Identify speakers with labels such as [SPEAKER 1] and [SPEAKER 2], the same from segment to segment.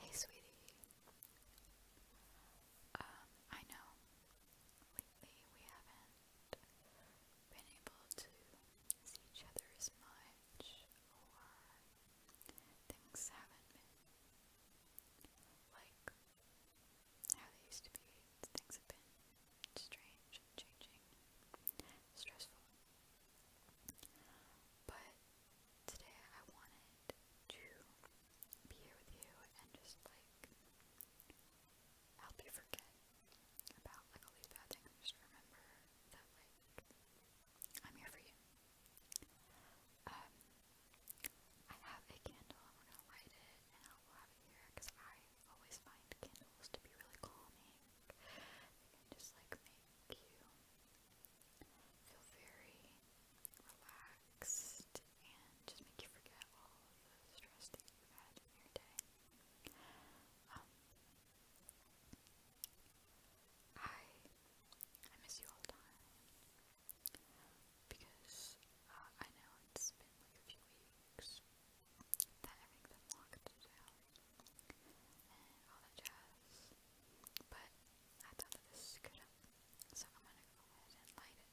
[SPEAKER 1] Hey, sweetie. Um, I know lately we haven't been able to see each other as much, or things haven't been like how they used to be. Things have been strange changing, stressful. But today I wanted to be here with you and just like help you forget about like all these bad things just remember that like I'm here for you. Um I have a candle and we're gonna light it and I will have it here because I always find candles to be really calming. They just like make you feel very relaxed and just make you forget all of the stress that you've had in your day. Um, I I miss you all the because uh, I know it's been like a few weeks that everything's locked down and all But I thought that this is so I'm gonna go ahead and light it.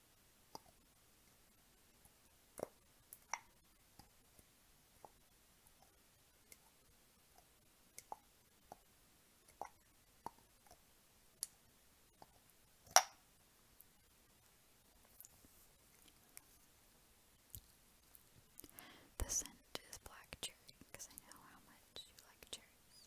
[SPEAKER 1] The scent is black cherry because I know how much you like cherries.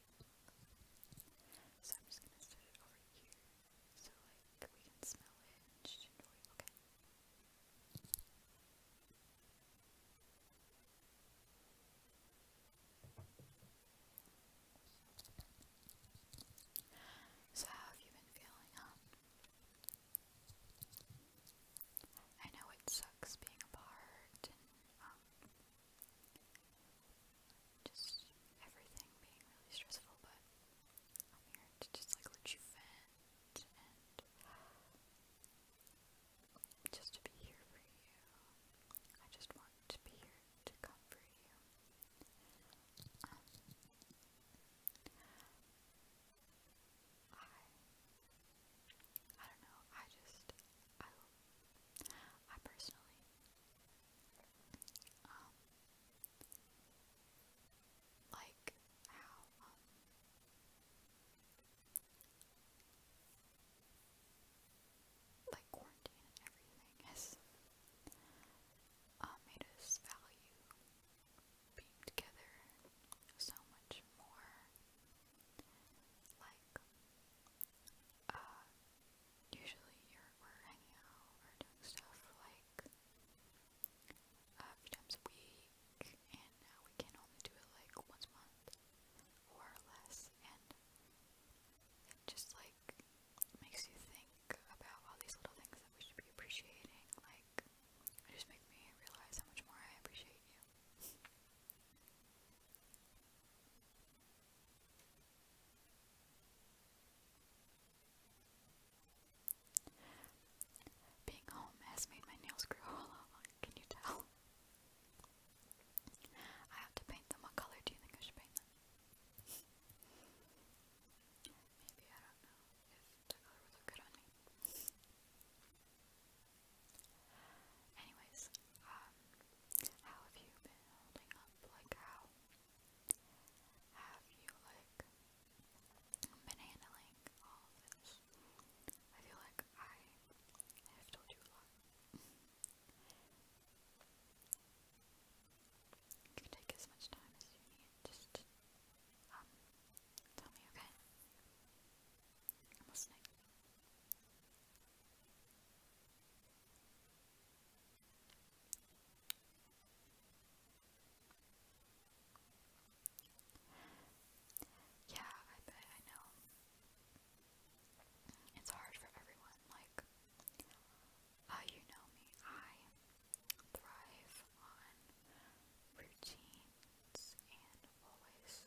[SPEAKER 1] So I'm just gonna set it over here so like we can smell it and just enjoy Okay. So how have you been feeling, I know it sucks being apart um, just everything being really stressful, but I'm here to just like let you vent and just to be here for you. I just want to be here to comfort you. Um, I I don't know, I just I I personally. Um, like how, um, like quarantine and everything has uh, made us value being together so much more. Like, uh, usually you're, we're hanging out or doing stuff like a few times a week, and now we can only do it like once a month or less, and it just like makes you think about all these little things that we should be appreciating, like it just makes me realize how much more I appreciate you. Being home has made my nails grow all can you tell? I have to paint them. What color do you think I should paint them? Maybe, I don't know if the color would good on me. Anyways, um, how have you been holding up? Like, how have you, like, been handling all this? I feel like I have told you a lot. you can take as much time as you need, just, um, tell me, okay? I'm listening. Yeah, I know. It's hard for everyone, like uh, you know me. I thrive on routines and always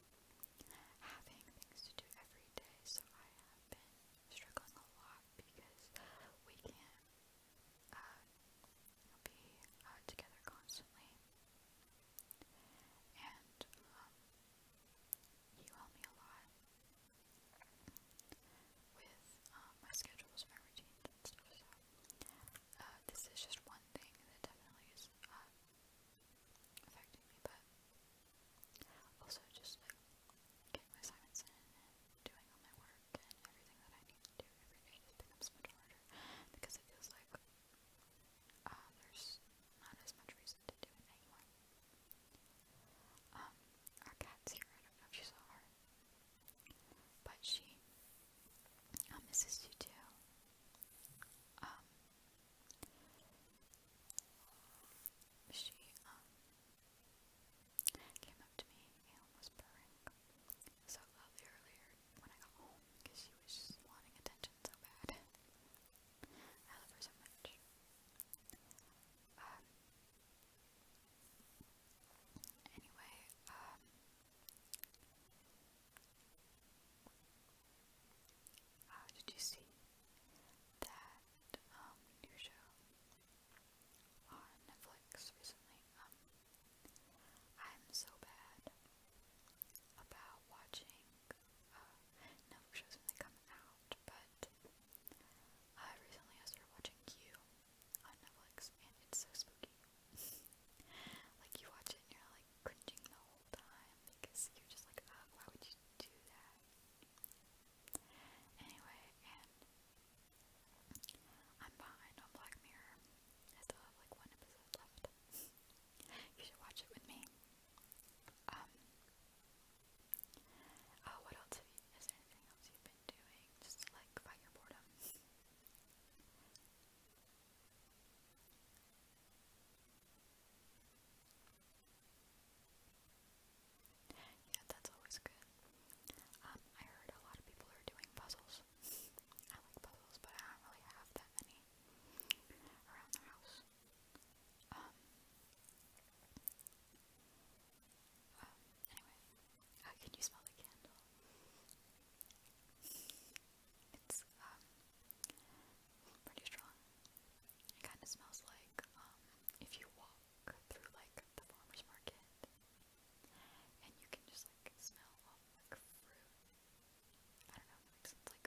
[SPEAKER 1] having things to do every day, so I have been struggling a lot because we can't uh, be uh, together constantly. And um, you help me a lot with um, my schedules, my routines, and stuff. Uh, this is just one thing that definitely is affecting me, but also just like getting my assignments and doing all my work and everything that I need to do every day just becomes much harder because it feels like uh, there's not as much reason to do it um, our cat's here, I do you saw her, but she misses um, you too. Um, she, um, came up to me and was purring so loudly earlier when I got home because she was just wanting attention so bad. I love her so much. Um, anyway, um, how uh, did you see that um, new show on Netflix recently? Um, I'm so bad about watching uh, Netflix shows when they come out, but recently I started watching Q on Netflix, and it's so spooky. like you watch it and you're like cringing the whole time because you're just like, ah, why would you do that? Anyway, I'm behind on Black Mirror. I still have like one episode left. you should watch it with me. Um. Oh, what else have you? Is there anything else you've been doing? Just like fight your boredom. Yeah, that's always good. Um, I heard a lot of people are doing puzzles. I like puzzles, but I don't really have that many around the house. Um, um anyway, how uh, can you smell the candle? It's, um, pretty strong. It kind of smells like um, if you walk through like the farmer's market and you can just like smell all like fruit. I don't know, it Like,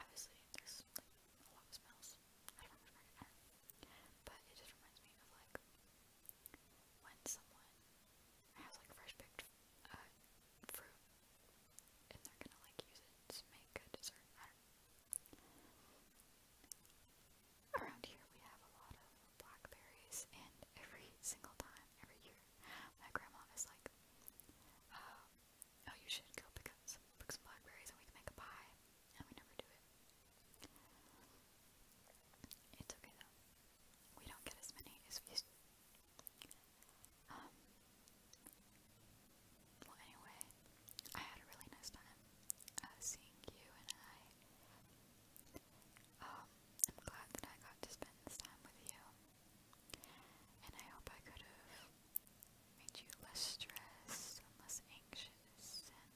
[SPEAKER 1] obviously, there's like a lot of smells at a farmer's market, but it just reminds me of like when someone has like fresh picked uh, fruit and they're gonna like use it to make a dessert. Around here we have a lot of blackberries and every single time, every year, my grandma is like, um, oh you should go pick up pick some blackberries and we can make a pie, and we never do it. It's okay though. We don't get as many as we used well, anyway, I had a really nice time uh, seeing you and I. Um, I'm glad that I got to spend this time with you. And I hope I could have made you less stressed and less anxious and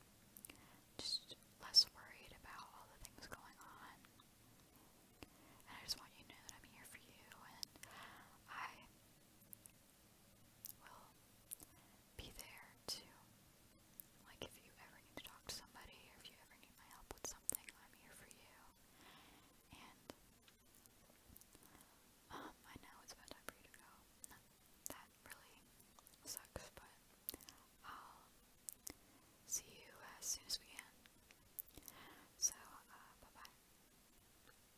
[SPEAKER 1] just less worried about all the things going on. And I just want you to know that I'm here for you and I will be there to, like, if you ever need to talk to somebody or if you ever need my help with something, I'm here for you. And, um, I know it's about time for you to go. that really sucks, but I'll see you as soon as we can. So, uh, bye bye.